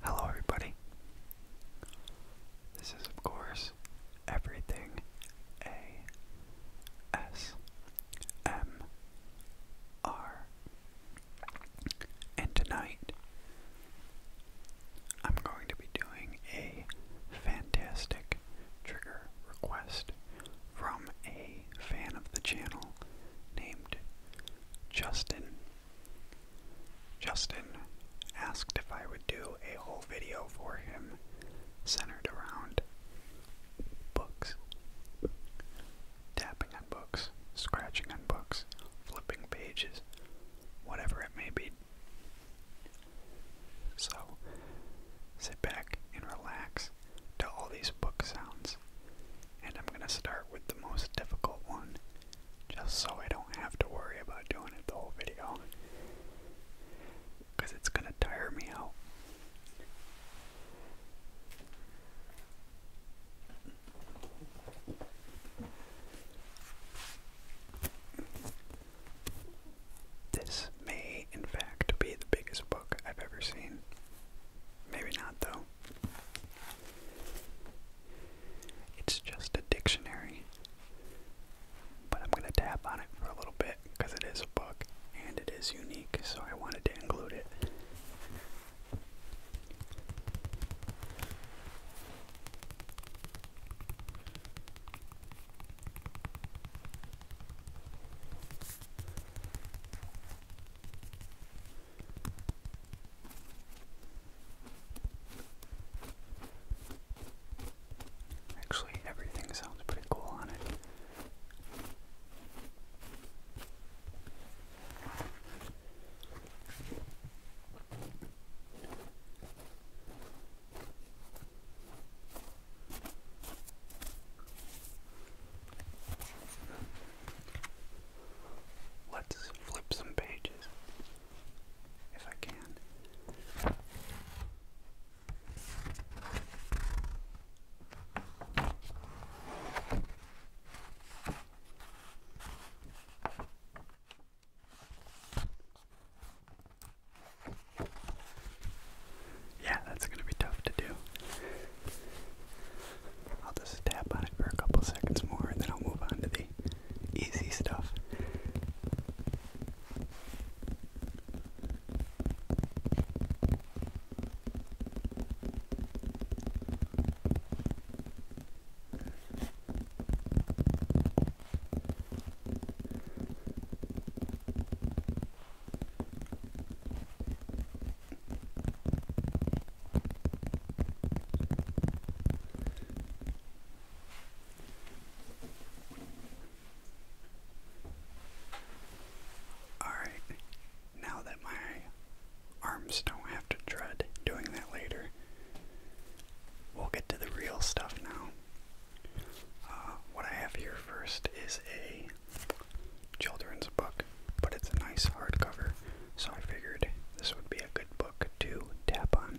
Hello, everybody. This is, of course, everything A S M R. And tonight, I'm going to be doing a fantastic trigger request from a fan of the channel named Justin. Justin asked if I would do a whole video for him centered around books. Tapping on books, scratching on books, flipping pages, whatever it may be. So, sit back and relax to all these book sounds and I'm going to start with the most difficult one, just so I don't have to worry about doing it the whole video. Because it's going to tire me out. This may, in fact, be the biggest book I've ever seen. Maybe not, though. It's just a dictionary, but I'm going to tap on it for a little bit because it is a book and it is unique, so I wanted to include it. Actually, everything sounds pretty cool on it. Let's flip some pages, if I can. Yeah, that's going to be tough to do. I'll just tap on it for a couple seconds more and then I'll move on to the easy stuff. Alright, now that my arms don't have to dread doing that later, we'll get to the real stuff now. Uh, what I have here first is a children's book, but it's a nice hardcover, so I figured this would be a good book to tap on.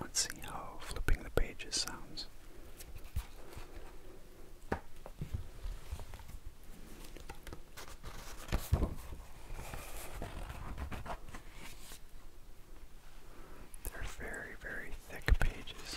Let's see how flipping the pages sounds. They're very, very thick pages.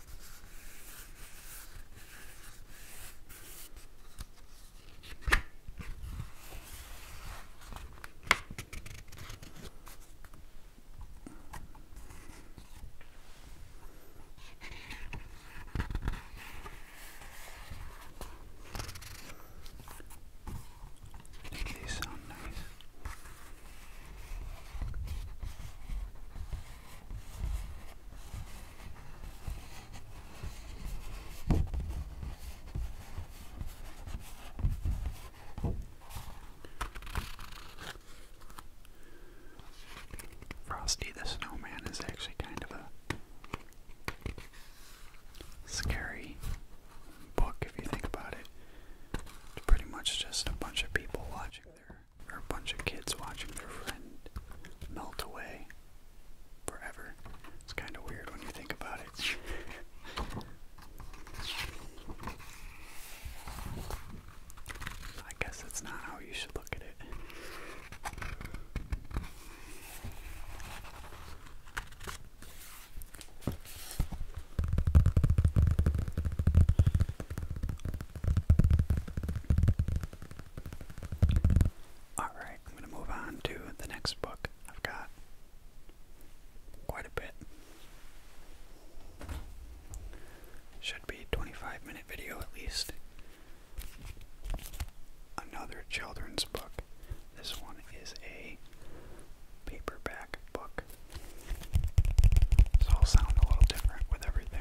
These sound nice. Frosty the Snowman is actually kind of a scary book if you think about it. It's pretty much just a bunch of people watching their or a bunch of kids watching their friend melt away forever. It's kind of weird when you think about it. I guess that's not how you should look at it. Alright, I'm going to move on to the next book. I've got quite a bit. Should be a 25 minute video at least. Another children's book. This one is a paperback book. So i sound a little different with everything.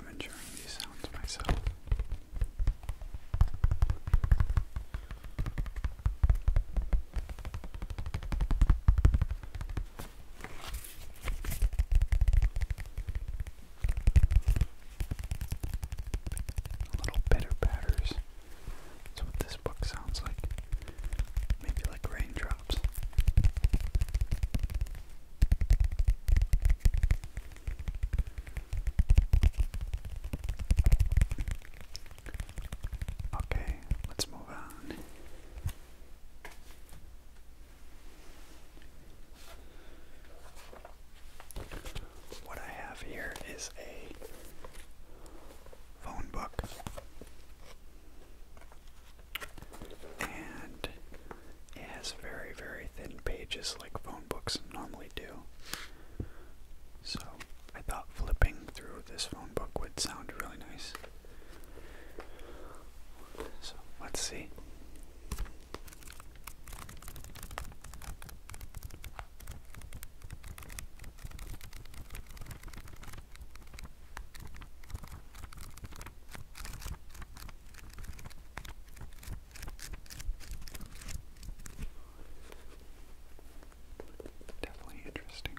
I'm enjoying these sounds myself. Little bitter batters that's what this book sounds like. Maybe like raindrops. Okay, let's move on. What I have here is a phone book. And it has very, very thin pages like phone books normally do. So I thought flipping through this phone book would sound really nice. So let's see. Definitely interesting.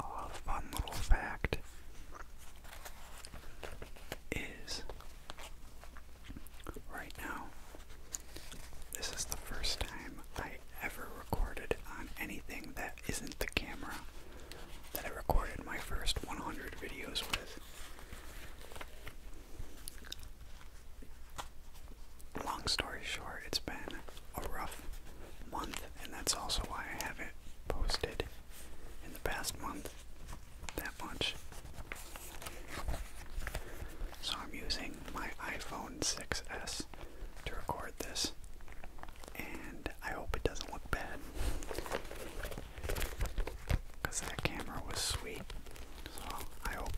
A fun little fact is right now this is the first time I ever recorded on anything that isn't the camera that I recorded my first 100 videos with. Long story short, it's been a rough month, and that's also why I haven't posted in the past month that much. So I'm using my iPhone 6S to record this, and I hope it doesn't look bad. Because that camera was sweet, so I hope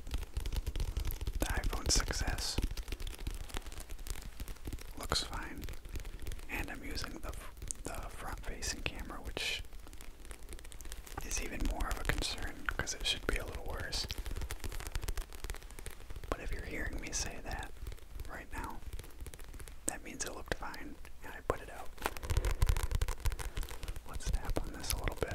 the iPhone 6S looks fine. And I'm using the, the front facing camera, which is even more of a concern because it should be a little worse. But if you're hearing me say that right now, that means it looked fine and I put it out. Let's tap on this a little bit.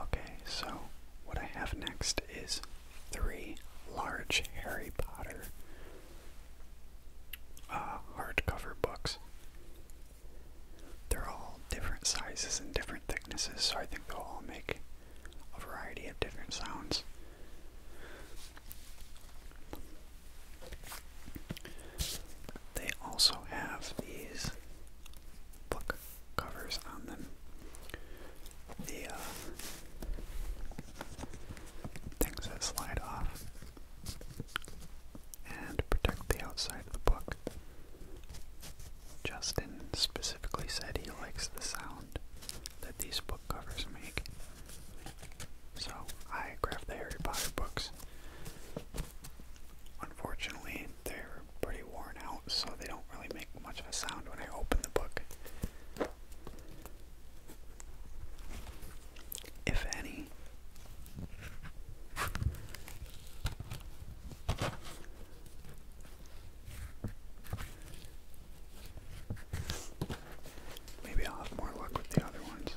Okay, so what I have next is three large Harry Potter uh, hardcover books. They're all different sizes and different thicknesses, so I think they'll all make a variety of different sounds. They also have these book covers on them. The uh, things that slide off and protect the outside of the book. Justin specifically said he likes the sound that these book covers make. So I grabbed the Harry Potter books. Unfortunately, they're pretty worn out, so they don't really make much of a sound when I open the book. If any. Maybe I'll have more luck with the other ones.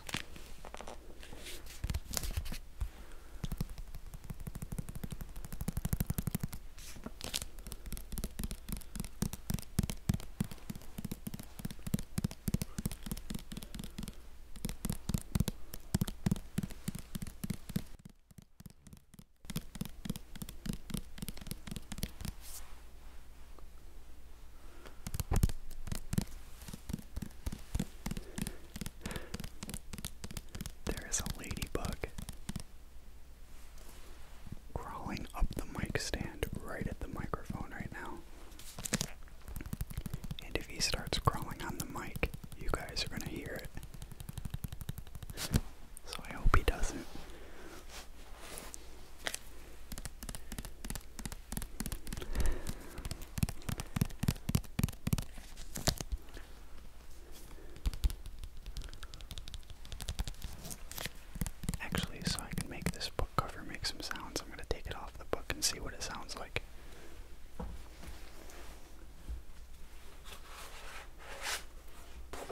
There is a ladybug crawling up the mic stand right at the microphone right now. And if he starts crawling on the mic, you guys are going to hear it. So I hope he doesn't. Actually, so I can make this book cover make some sounds, I'm going to take it off the book and see what it sounds like.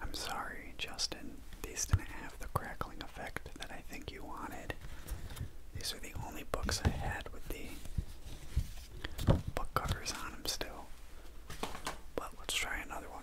I'm sorry, Justin. These didn't have the crackling effect that I think you wanted. These are the only books I had with the book covers on them still. But let's try another one.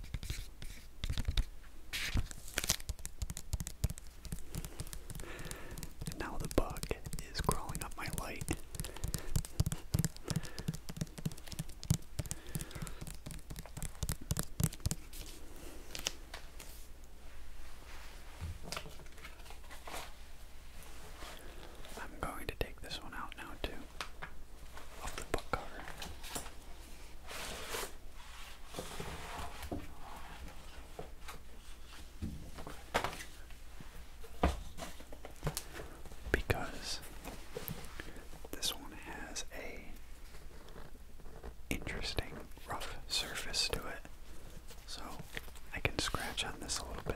now the bug is crawling up my light. I'm going to take this one out now, too of the book cover. Because this one has a interesting rough surface to it. So I can scratch on this a little bit.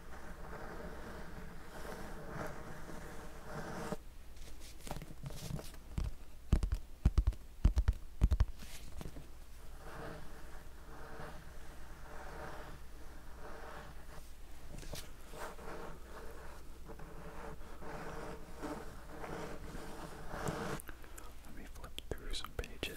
Let me flip through some pages.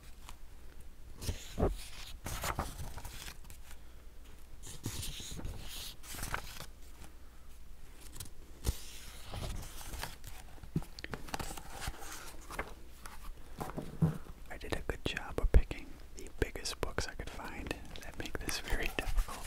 I did a good job of picking the biggest books I could find that make this very difficult.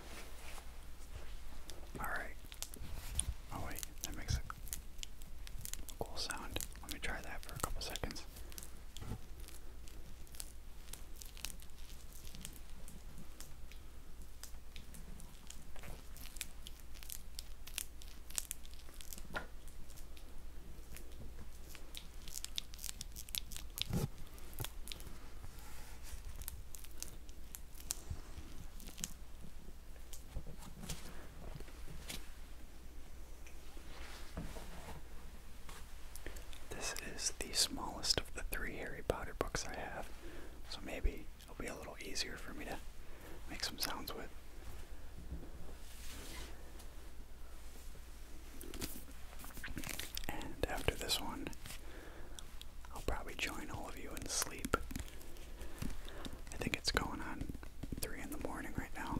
Alright. Oh, wait, that makes a cool sound. Let me try that for a couple seconds. This is the smallest of the three Harry Potter books I have, so maybe it'll be a little easier for me to make some sounds with. And after this one, I'll probably join all of you in sleep. I think it's going on three in the morning right now.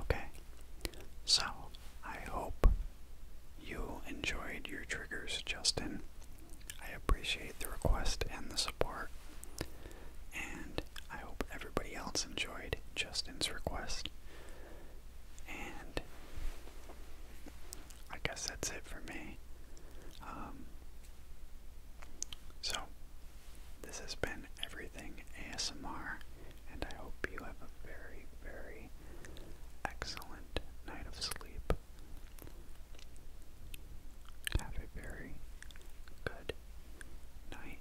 Okay, so I hope you enjoyed your triggers, Justin. I appreciate the request and the support, and I hope everybody else enjoyed Justin's request. And I guess that's it for me. Um, so, this has been Everything ASMR, and I hope you have a very, very excellent night of sleep. Have a very good night.